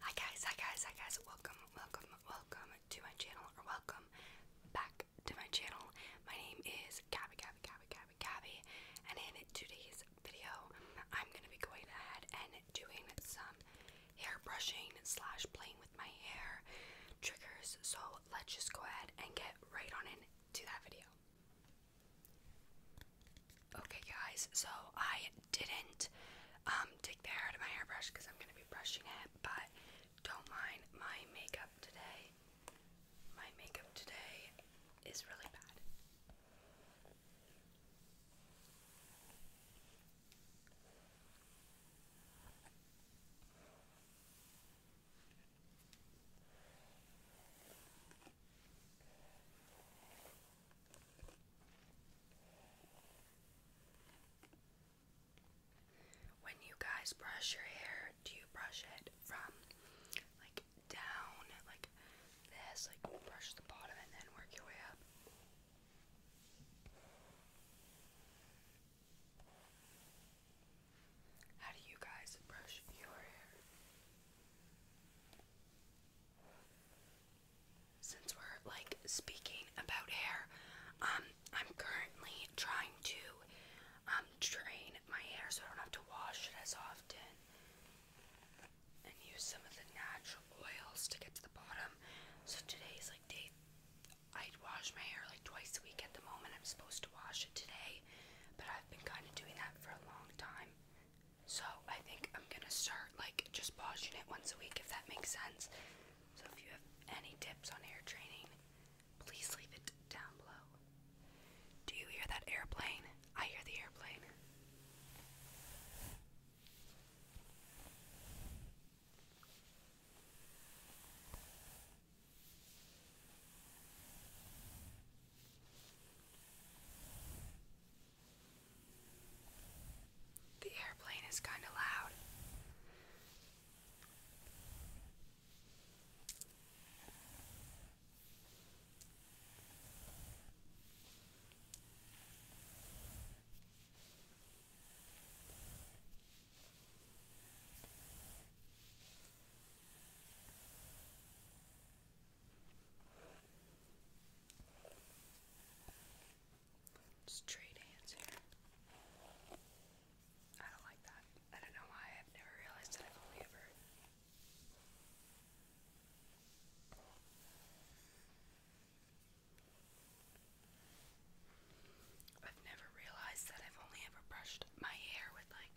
Hi guys, hi guys, hi guys. Welcome, welcome, welcome to my channel or welcome back to my channel. My name is Gabby, Gabby, Gabby, Gabby, Gabby. And in today's video, I'm going to be going ahead and doing some hair brushing slash playing with my hair triggers. So let's just go ahead and get right on into that video. Okay, guys, so I didn't um, take the hair out of my hairbrush because I'm going to be brushing it, but don't mind my makeup today. My makeup today is really bad. When you guys brush your hair, do you brush it from like down, like this, like brush the bottom and then work your way up? How do you guys brush your hair? Since we're like speaking about hair, um, I'm currently trying to um drain my hair so I don't have to wash it as often and use some of the natural oils to get to the bottom. So today's like day I wash my hair like twice a week at the moment. I'm supposed to wash it today, but I've been kind of doing that for a long time. So I think I'm gonna start like just pausing it once a week if that makes sense. So if you have any tips on air training, please leave it down below. Do you hear that airplane? I hear the airplane. The airplane is kind of loud. Straight hands here. I don't like that. I don't know why. I've never realized that I've only ever. I've never realized that I've only ever brushed my hair with like.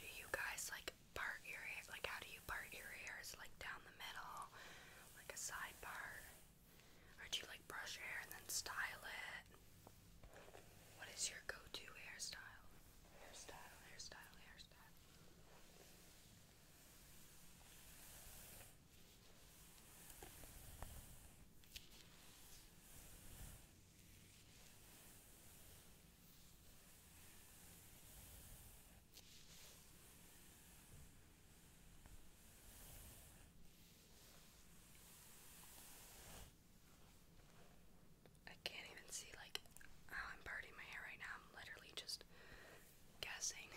Do you guys like part your Like, how do you part your hairs? Like down the middle, like a side part? Or do you like brush your hair and then style it? What is your go-to hairstyle? hairstyle. I can't even see like I'm parting my hair right now. I'm literally just guessing.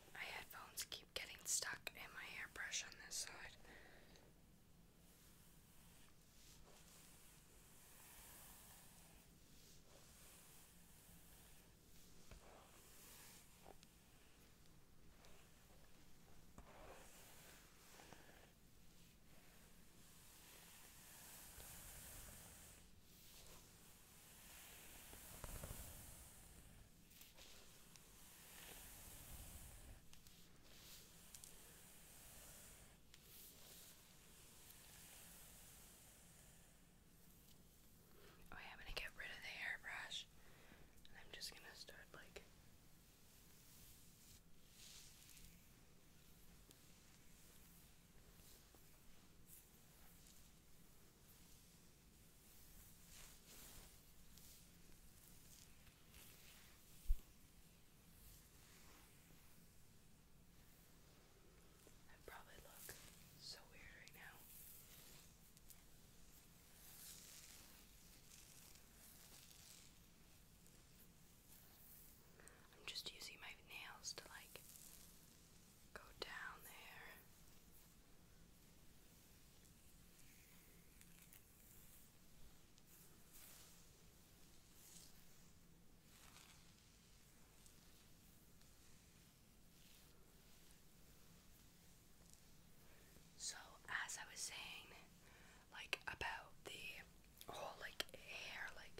My headphones keep getting stuck in my hairbrush on this side. Oh, I'm gonna get rid of the airbrush I'm just gonna start like I probably look so weird right now. I'm just using my nails to like go down there so, as I was saying, like about the whole like hair, like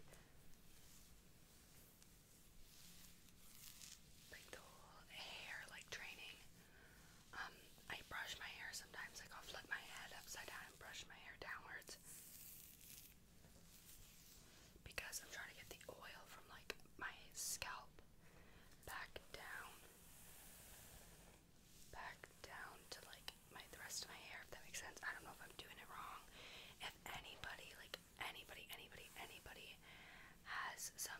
like the whole hair like training um, I brush my hair sometimes, i go flip my head upside down and brush my hair downwards. Because I'm trying to get the oil from like my scalp back down. Back down to like my the rest of my hair, if that makes sense. I don't know if I'm doing it wrong. If anybody, like anybody, anybody, anybody has some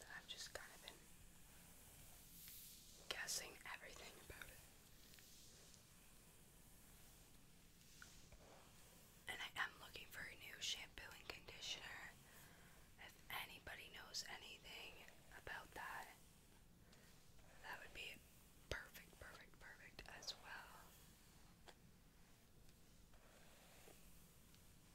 I've just kind of been guessing everything about it. And I am looking for a new shampoo and conditioner. If anybody knows anything about that, that would be perfect, perfect, perfect as well.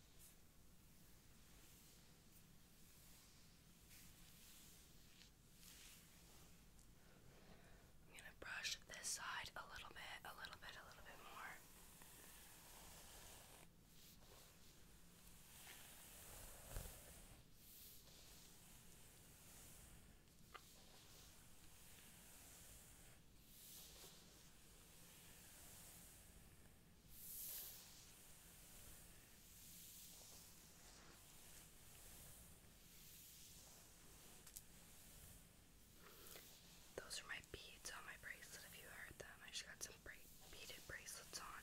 I'm going to brush this side a little bit, a little bit, a little bit more. Those are my beads on my bracelet if you heard them. I just got some bra beaded bracelets on.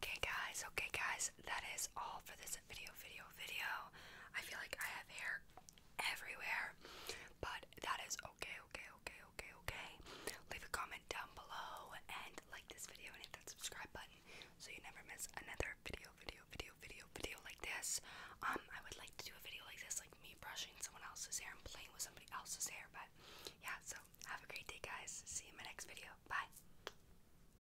Okay, guys, okay, guys, That is all for this video, video, video. I feel like I have hair everywhere, but that is okay, okay, okay, okay, okay. Leave a comment down below and like this video and hit that subscribe button so you never miss another video, video, video, video, video like this. Um, I would like to do a video like this, like me brushing someone else's hair and playing with somebody else's hair, but yeah, so have a great day, guys. See you in my next video. Bye.